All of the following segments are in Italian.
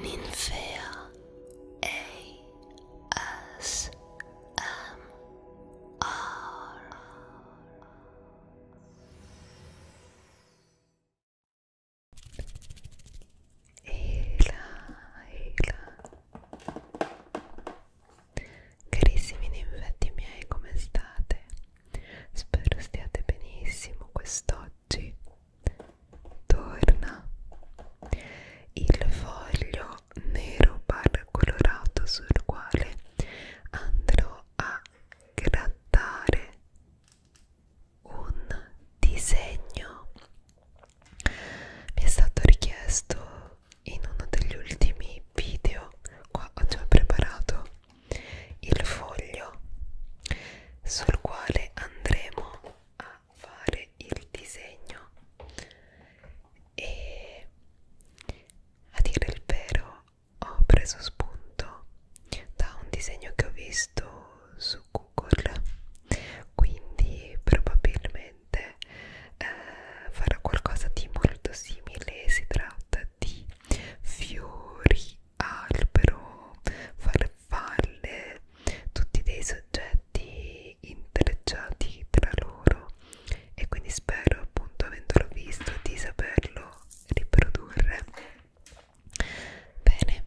Ninfea ASMR Eila, Eila Carissimi ninfetti miei, come state? Spero stiate benissimo quest'oggi torna il foglio nero barra colorato sul quale andrò a grattare un disegno mi è stato richiesto in uno degli ultimi video qua ho già preparato il foglio sul quale andremo a fare il disegno e a dire il vero ho preso spunto da un disegno che ho visto su Google quindi probabilmente eh, farà qualcosa di molto simile si tratta di fiori albero, farfalle, tutti dei soggetti intrecciati tra loro e quindi spero appunto avendolo visto di saperlo riprodurre bene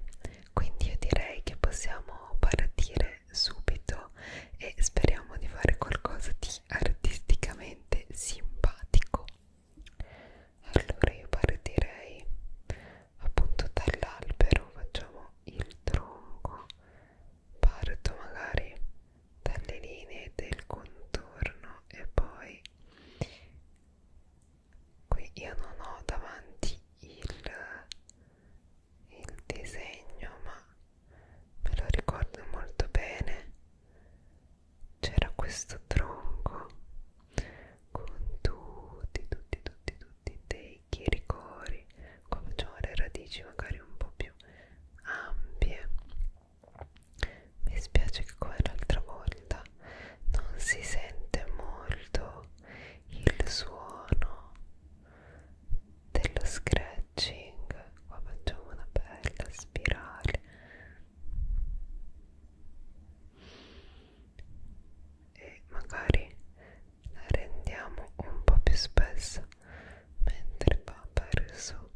quindi io direi che possiamo partire subito e speriamo di fare qualcosa di artisticamente simpatico allora io partirei appunto dall'albero facciamo il tronco parto magari dalle linee del contorno e poi qui io non ho davanti il, il disegno ma me lo ricordo molto bene c'era questo tronco con tutti, tutti, tutti, tutti dei chiricori, qua facciamo le radici magari un po' più ampie. Mi spiace che come l'altra volta non si sente molto il suono dello scratching. Qua facciamo una bella spirale e magari la rendiamo un po' più spessa mentre va verso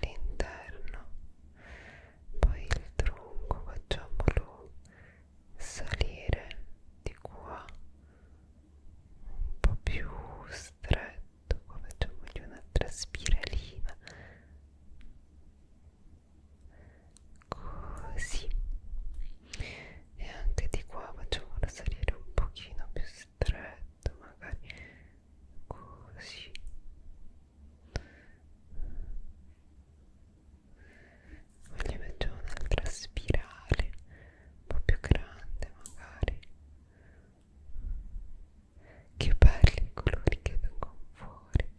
l'interno poi il tronco facciamolo salire di qua un po' più stretto qua facciamogli un'altra spiralina così e anche di qua facciamola salire un pochino più stretto magari così poi gli facciamo un'altra spirale un po' più grande magari che belli i colori che vengono fuori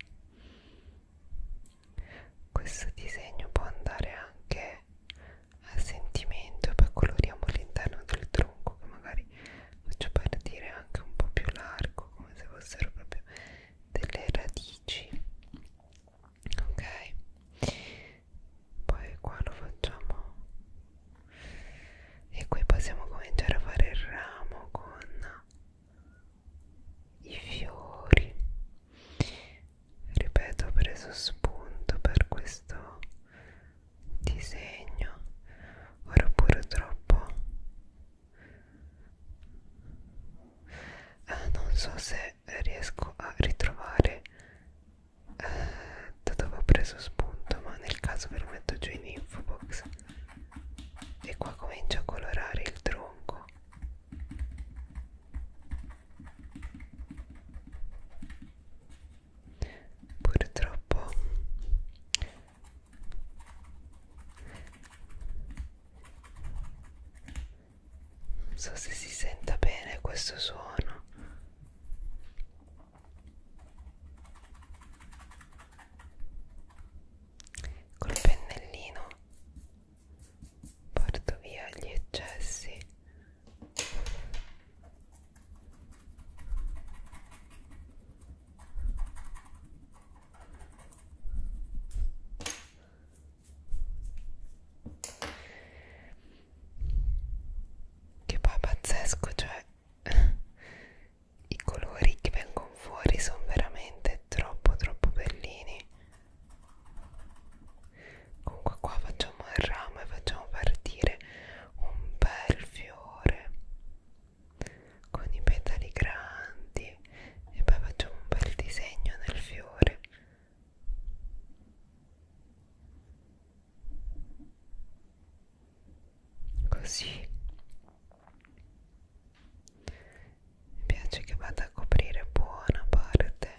questo disegno può andare anche a sentimento poi coloriamo l'interno del tronco che magari faccio partire anche un po' più largo come se fossero proprio delle radici ok poi qua lo facciamo e qui possiamo cominciare a fare il ramo con i fiori ripeto ho preso spunto per questo disegno ora pure troppo eh, non so se riesco a ritrovare eh, da dove ho preso spunto ma nel caso ve lo metto giù in info box e qua comincia a colorare il tronco purtroppo non so se si senta bene questo suono col pennellino porto via gli eccessi che poi è pazzesco cioè i colori che vengono fuori sono veramente troppo troppo bellini comunque qua facciamo il ramo e facciamo partire un bel fiore con i petali grandi e poi facciamo un bel disegno nel fiore così mi piace che vada a coprire buona parte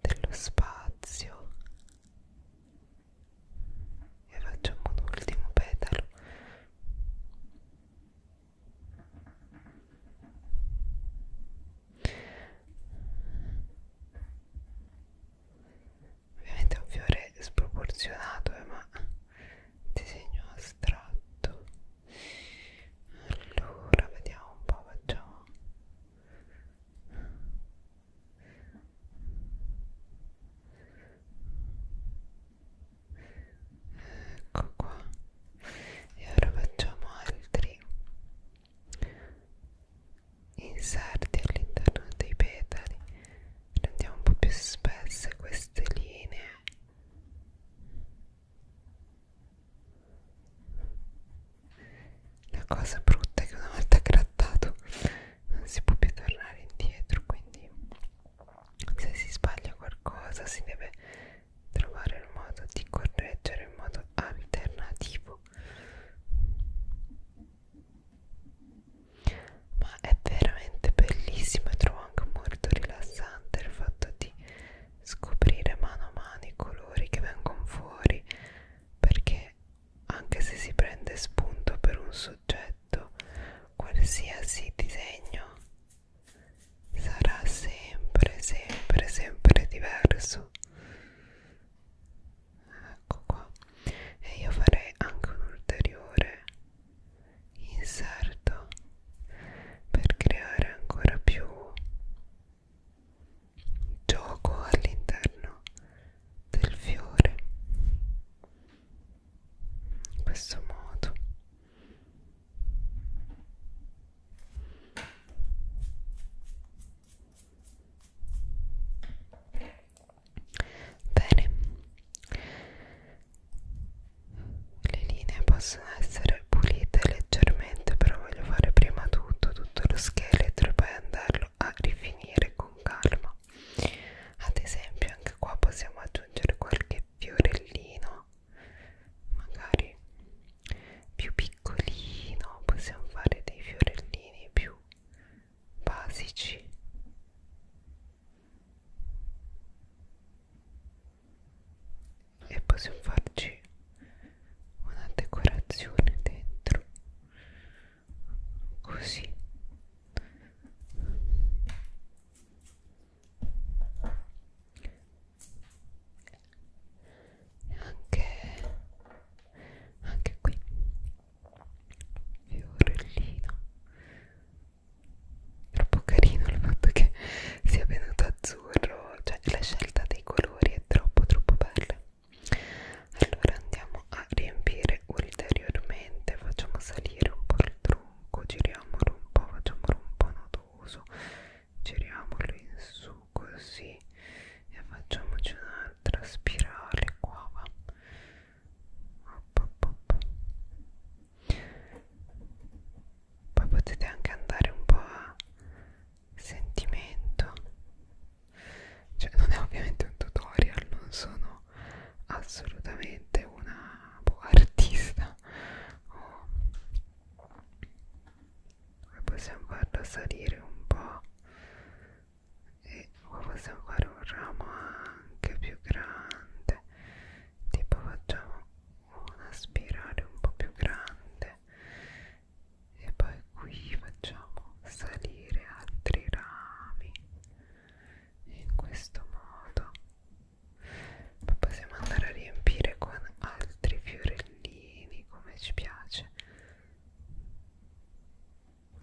dello spazio e facciamo un ultimo petalo Ovviamente è un fiore sproporzionato, eh, ma disegno astratto allora vediamo un po' facciamo ecco qua e ora facciamo altri inserti all'interno dei petali rendiamo un po' più spesse queste linee la cosa brutta è che una volta grattato non si può più tornare indietro quindi se si sbaglia qualcosa si deve trovare il modo di correggere in modo alternativo ma è veramente bellissimo e trovo anche molto rilassante il fatto di scoprire mano a mano i colori che vengono fuori perché anche se si prende spunto per un soggetto qualsiasi disegno sarà sempre sempre sempre diverso ecco qua e io farei anche un ulteriore inserto per creare ancora più gioco all'interno del fiore in questo modo Bene, le linee possono essere pulite leggermente, però voglio fare prima tutto, tutto lo scheletro e poi andarlo a rifinire con calma. Ad esempio, anche qua possiamo aggiungere qualche fiorellino, magari più piccolino, possiamo fare dei fiorellini più basici e possiamo farci una decorazione dentro così anche, anche qui fiorellino troppo carino il fatto che sia venuto azzurro cioè la scelta dei colori è troppo troppo bella allora andiamo a riempire ulteriormente facciamo salire un po' il tronco giriamolo un po' facciamolo un po' nodoso giriamolo in su così e facciamoci un'altra spirale qua va poi potete anche andare un po' a sentimento cioè non è ovviamente un tutorial non sono assolutamente una boh, artista o oh. possiamo farla salire un po' e possiamo fare un ramo anche più grande tipo facciamo una spirale un po' più grande e poi qui facciamo salire altri rami in questo modo poi possiamo andare a riempire con altri fiorellini come ci piace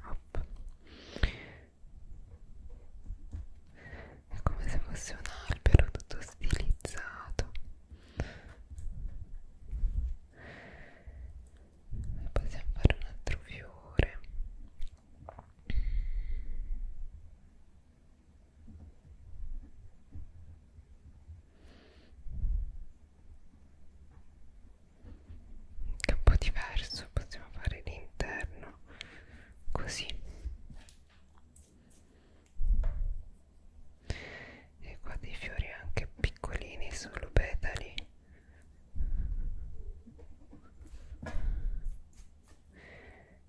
up è come se fosse un albero tutto stilizzato e possiamo fare un altro fiore che è un po' diverso possiamo fare l'interno così e qua dei fiori anche piccolini solo petali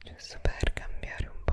giusto per cambiare un po'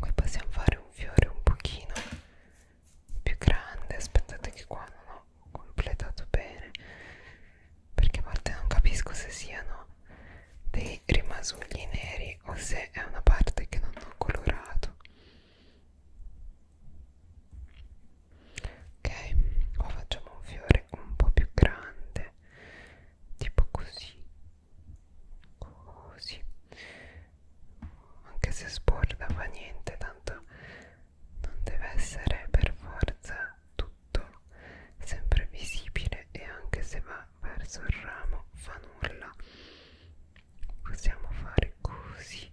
Qui possiamo fare un fiore un pochino più grande. Aspettate che qua non ho completato bene perché a volte non capisco se siano dei rimasugli neri o se è una parte che non ho colorato ok qua facciamo un fiore un po' più grande tipo così così anche se sborda fa niente tanto non deve essere per forza tutto sempre visibile e anche se va verso il ramo fa nulla possiamo fare così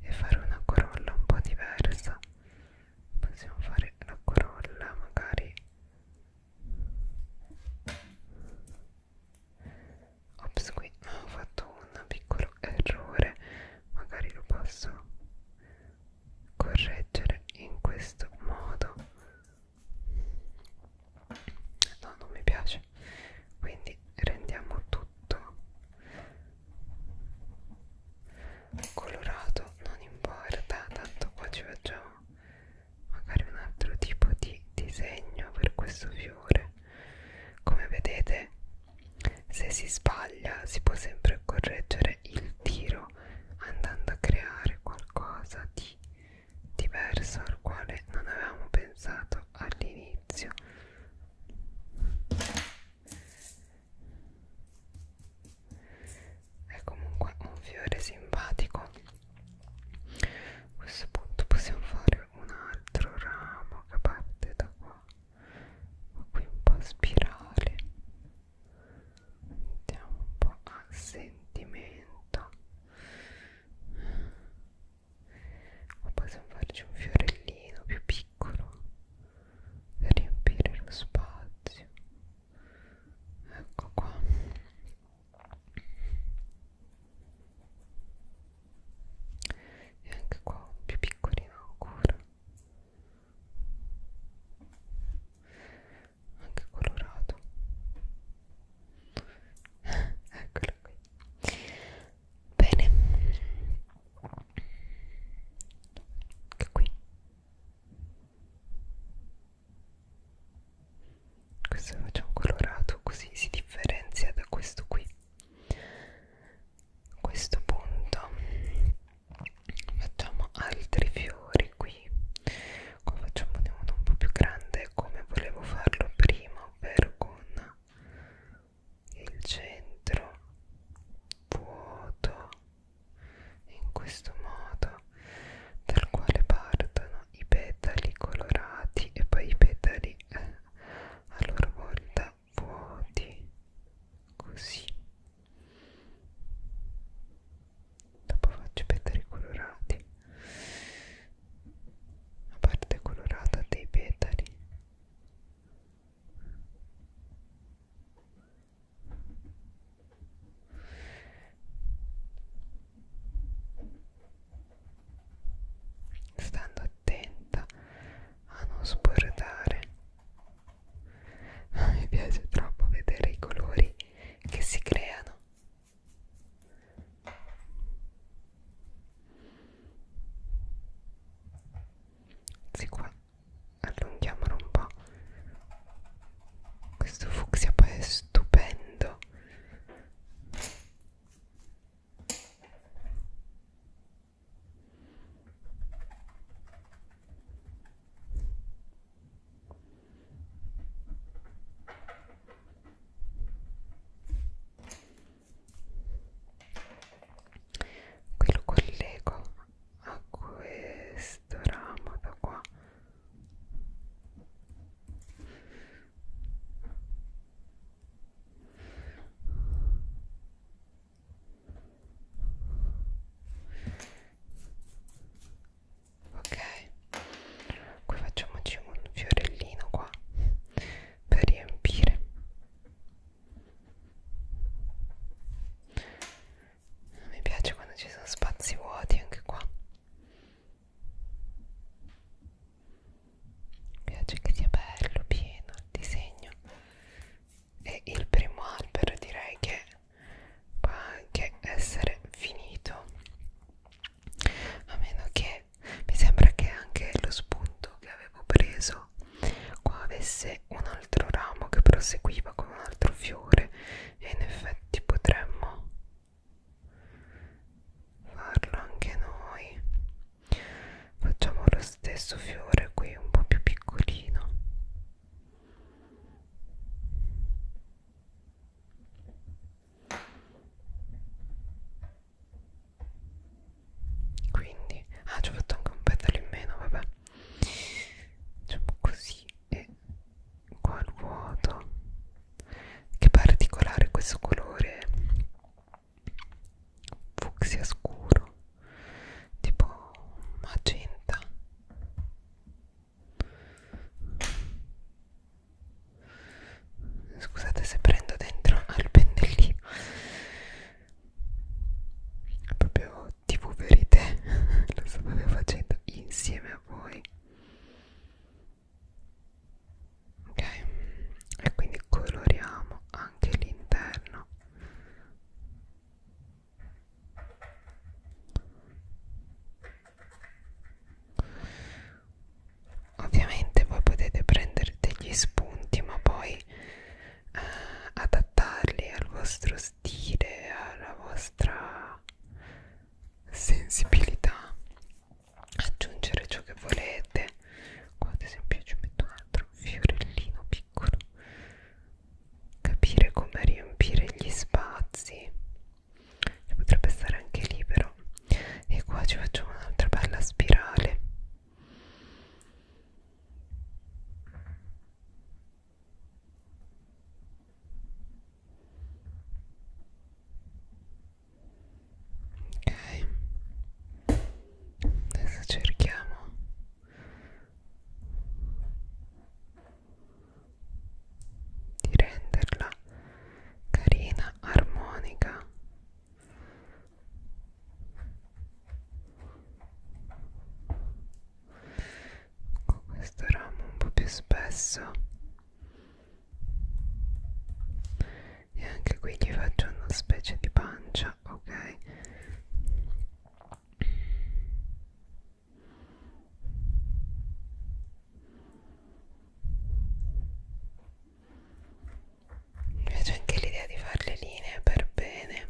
e fare una corolla un po' diversa possiamo fare la corolla magari ops qui ho fatto un piccolo errore magari lo posso correggere in questo modo no non mi piace quindi rendiamo tutto colorato non importa tanto qua ci facciamo magari un altro tipo di disegno per questo fiore come vedete se si sbaglia si può sempre correggere il tiro andando a creare qualcosa di diverso al quale non avevamo pensato detto all'inizio è comunque un fiore simpatico a questo punto possiamo fare un altro ramo che parte da qua ma qui un po' a spirale andiamo un po' a sentimento o possiamo farci un fiorellino più piccolo per riempire lo spazio ecco qua e anche qua un più piccolino ancora anche colorato eccolo qui bene che ecco qui questo facciamo colorato così si differenzia da questo qui a questo punto facciamo altri fiori qui qua facciamo uno un po' più grande come volevo farlo prima ovvero con il centro vuoto in questo modo dal quale partono i petali colorati e poi i petali eh, a loro volta vuoti così dopo faccio i petali colorati la parte colorata dei petali stando attenta a non sbordare mi piace troppo vedere i colori che si creano se qua allunghiamolo un po' questo fucsia poi è stupendo qui lo collego a questo ramo da qua ok poi facciamoci un fiorellino qua per riempire mi piace quando ci sono spazi vuoti anche qua mi piace che sia bello pieno il disegno e il primo albero direi che può anche essere finito a meno che perché mi sembra che anche lo spunto che avevo preso qua avesse un altro ramo che proseguiva con un altro fiore e in effetti potremmo farlo anche noi facciamo lo stesso fiore qui un po' più piccolino quindi ah ci ho fatto anche un petalo in meno vabbè diciamo così e qua al vuoto che particolare questo colore fucsia scuro tipo magenta Scusate se prendo dentro al pennellino. È proprio tv verite. Lo stavo facendo insieme a voi. Ok, e quindi coloriamo anche l'interno. Ovviamente voi potete prendere degli spunti ma poi eh, adattarli al vostro stile, alla vostra sensibilità, aggiungere ciò che volete. Qua ad esempio ci metto un altro fiorellino piccolo capire come riempire gli spazi e potrebbe stare anche lì però e qua ci facciamo un'altra bella spirale ok adesso cerchiamo di renderla carina, armonica con questo ramo un po' più spesso e anche qui gli faccio una specie di pancia ok mi piace anche l'idea di fare le linee per bene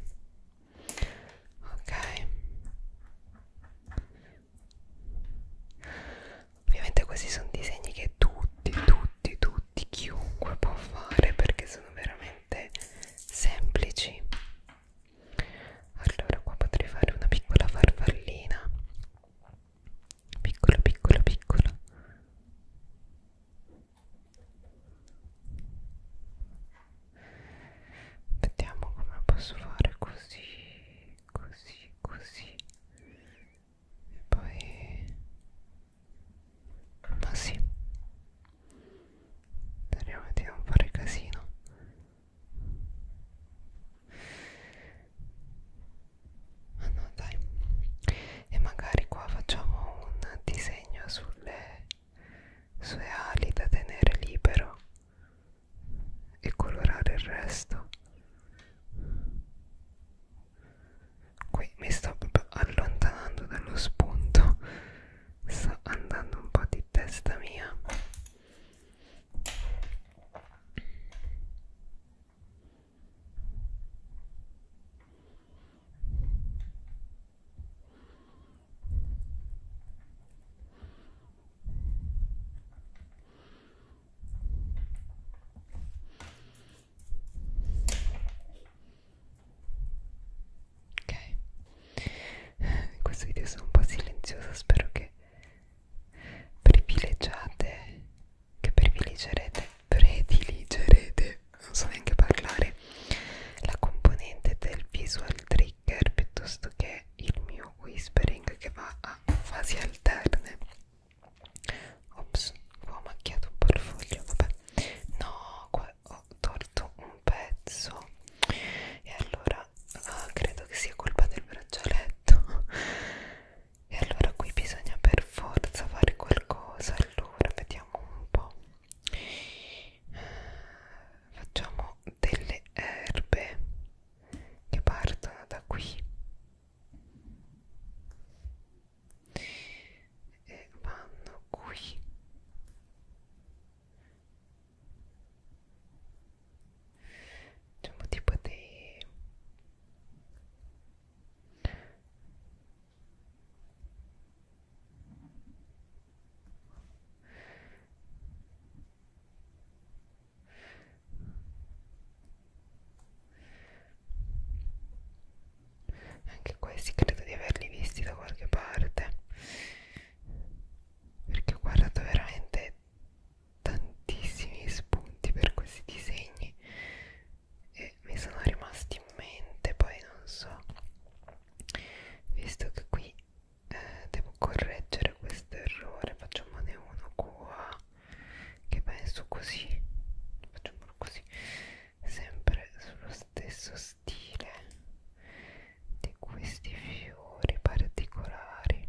ok ovviamente questi sono disegni che tutti tutti tutti chiunque può fare perché sono veramente semplici allora qua potrei fare una piccola farfallina piccolo piccolo piccolo vediamo come posso fare così così così e poi ma sì speriamo di non fare casino ma ah, no dai e magari qua facciamo un disegno sulle sue ali da tenere libero e colorare il resto qui mi sto proprio allontanando dallo spunto sto andando un po' di testa mia Ok, in questo video sono un po' silenziosa, spero che privilegiate che privilegerete prediligerete non so neanche parlare la componente del visual trigger piuttosto che il mio whispering che va a fasi alterne ops qua ho macchiato un po' il foglio vabbè no qua ho tolto un pezzo e allora ah, credo che sia colpa del braccialetto e allora qui bisogna per forza fare qualcosa allora vediamo un po' facciamo delle erbe che partono da qui e vanno qui diciamo tipo dei anche questi credo di averli visti da qualche parte perché ho guardato veramente tantissimi spunti per questi disegni e mi sono rimasti in mente poi non so visto che qui eh, devo correggere questo errore facciamone uno qua che penso così facciamolo così sempre sullo stesso stile di questi fiori particolari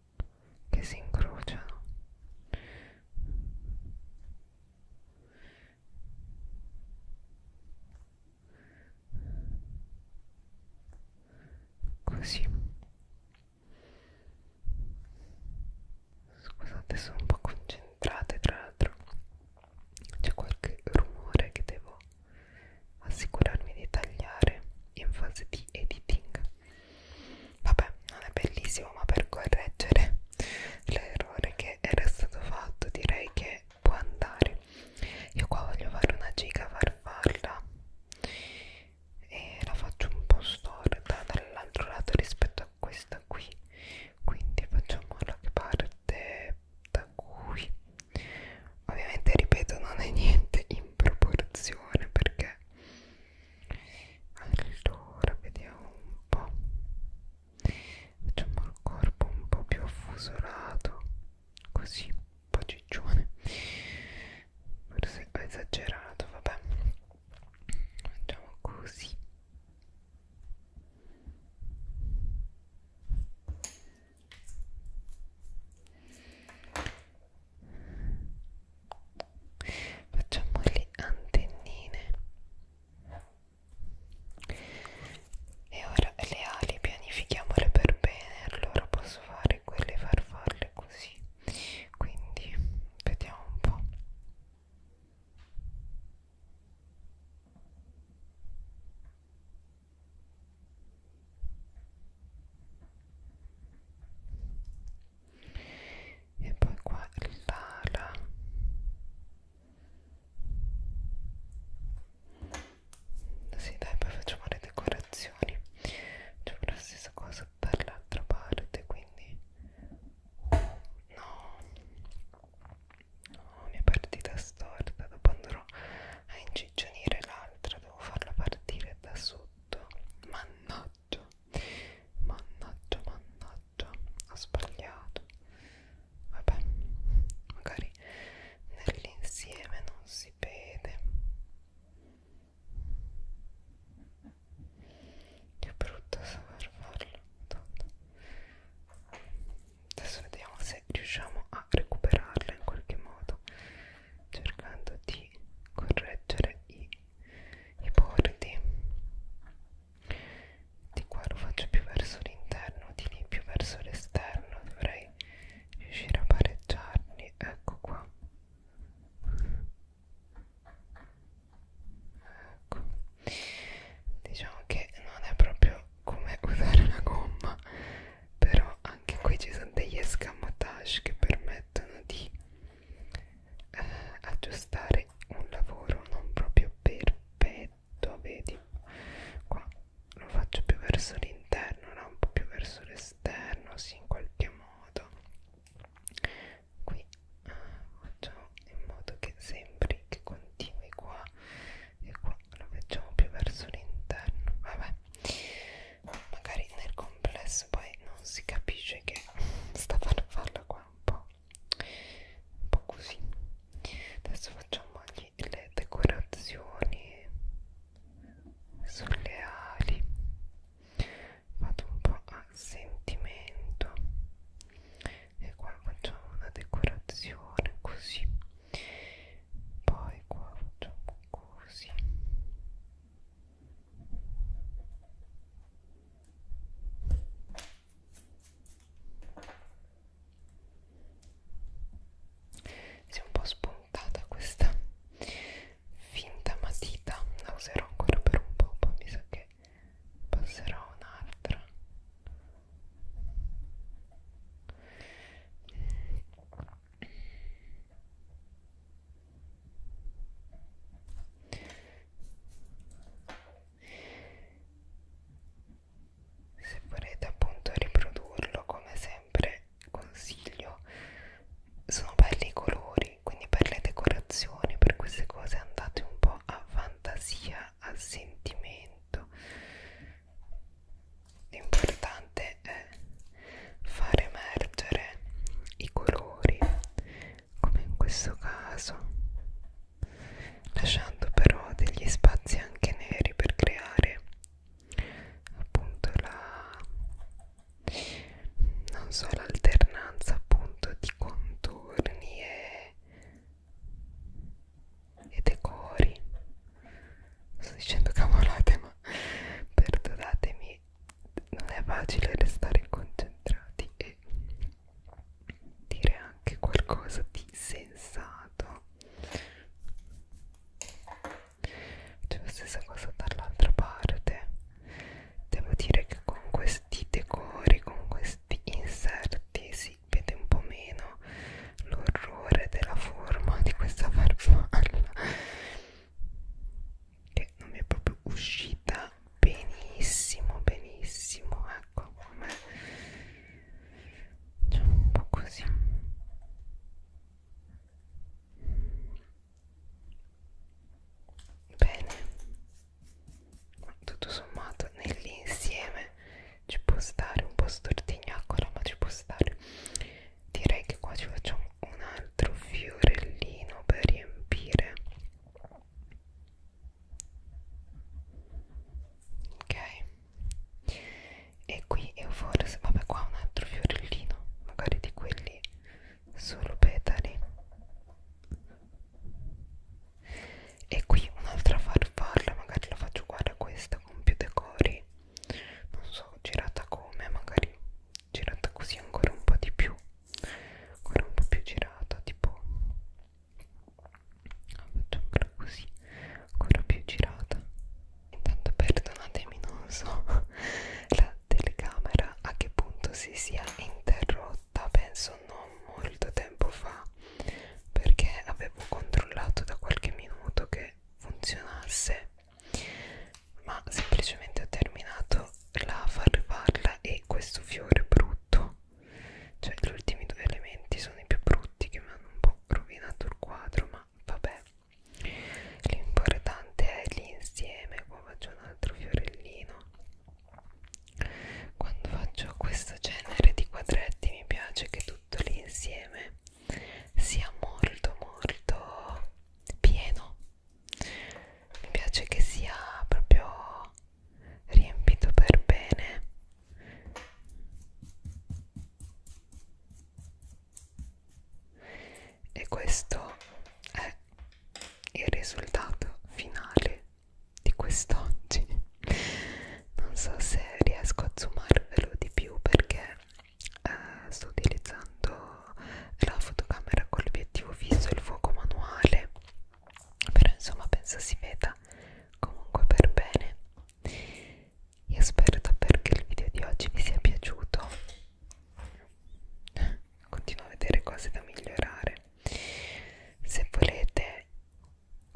che si incrociano così scusate sono un po' concentrate tra l'altro c'è qualche rumore che devo assicurarmi di tagliare in fase di editing vabbè non è bellissimo ma per correggere l'errore che era stato fatto direi che può andare io qua voglio fare una giga farfalla e la faccio un po' storta dall'altro lato rispetto a questa qui quindi facciamola che parte da qui ovviamente ripeto non è niente in proporzione perché allora vediamo un po' facciamo il corpo un po' più affusolato così un po' ciccione forse ho esagerato vabbè facciamo così facciamo le antennine e ora le ali pianifichiamole per bene allora posso fare quelle farfalle così quindi vediamo un po' e poi qua l'ala sì dai poi facciamo le decorazioni facciamo la stessa cosa per l'altra parte quindi no no mia partita storta dopo andrò a incidere ciccionire l'altra, devo farla partire da sotto. Mannaggia, mannaggia, mannaggia, ho sbagliato. Vabbè, magari nell'insieme non si vede. Che brutta saper farlo. Adesso vediamo se riusciamo a recuperarla in qualche modo cercando di correggere i, i bordi di qua lo faccio più verso l'interno di lì più verso l'esterno dovrei riuscire a pareggiarli ecco qua ecco diciamo che non è proprio come usare una gomma però anche qui ci sono degli escamotage che permettono di eh, aggiustare un lavoro non proprio perfetto vedi qua lo faccio più verso l'interno no? un po' più verso l'esterno sì in qualche modo qui eh, facciamo in modo che sembri che continui qua e qua lo facciamo più verso l'interno vabbè magari nel complesso poi non si capisce che stavano a farla qua un po', un po' così adesso facciamo le decorazioni sulle ali vado un po' a sentimento e qua facciamo una decorazione così poi qua facciamo così si è un po' spuntata questa finta matita la userò ancora per un po' poi mi sa che passerò a un'altra se volete appunto riprodurlo come sempre consiglio sono belli i colori quindi per le decorazioni per queste cose andate un po' a fantasia a sentimento l'importante è far emergere i colori come in questo caso lasciando però degli spazi anche neri per creare appunto la non so l'alternanza appunto di contorni e e decori sto dicendo cavolate ma perdonatemi non è facile restare concentrati e dire anche qualcosa di sensato c'è la stessa cosa dall'altra parte devo dire che con questi decori con questi inserti si vede un po' meno l'orrore della forma di questa farfalla che non mi è proprio uscita benissimo benissimo ecco come diciamo un po' così bene tutto sommato nell'insieme ci può stare un po' stortignaccola ma ci può stare direi che qua ci facciamo un altro fiorellino per riempire ok e qui io forse vabbè qua un altro fiorellino magari di quelli solo petali e qui un'altra farfalla magari la faccio uguale a questa con più decori non so girata come magari girata così ancora un po' di più ancora un po' più girata tipo faccio ancora così ancora più girata intanto perdonatemi non so la telecamera a che punto si sia interrotta penso non molto tempo fa perché avevo controllato da qualche minuto che che funzionasse ma semplicemente ho terminato la farfalla e questo fiore brutto cioè gli ultimi due elementi sono i più brutti che mi hanno un po' rovinato il quadro ma vabbè l'importante è l'insieme qua faccio un altro fiorellino quando faccio questo genere di quadretti mi piace che tutto l'insieme sia molto molto pieno mi piace che sia proprio riempito per bene e questo è il risultato finale di quest'oggi non so se riesco a zoomarvelo di più perché eh, sto utilizzando la fotocamera con l'obiettivo fisso e il fuoco manuale però insomma penso si veda comunque per bene io spero davvero che il video di oggi vi sia piaciuto continuo a vedere cose da migliorare se volete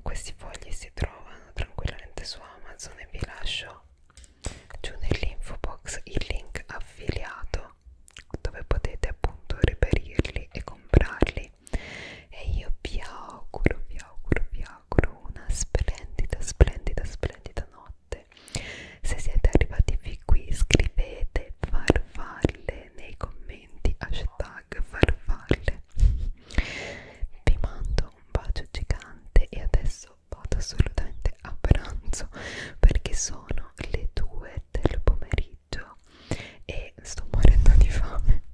questi fogli si trovano tranquillamente su Amazon e vi lascio giù nell'info box il link affiliato dove potete appunto reperirli e comprarli e io vi auguro, vi auguro, vi auguro una splendida, splendida, splendida notte se siete arrivati fin qui scrivete farfalle nei commenti hashtag farfalle vi mando dato un bacio gigante e adesso vado assolutamente a pranzo perché sono le 2 del pomeriggio e sto morendo di fame.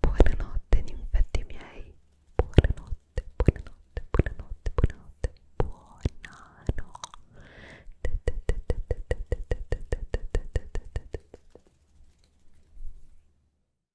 Buonanotte, ninfetti miei. Buonanotte, buonanotte, buonanotte, buonanotte. Buonanotte.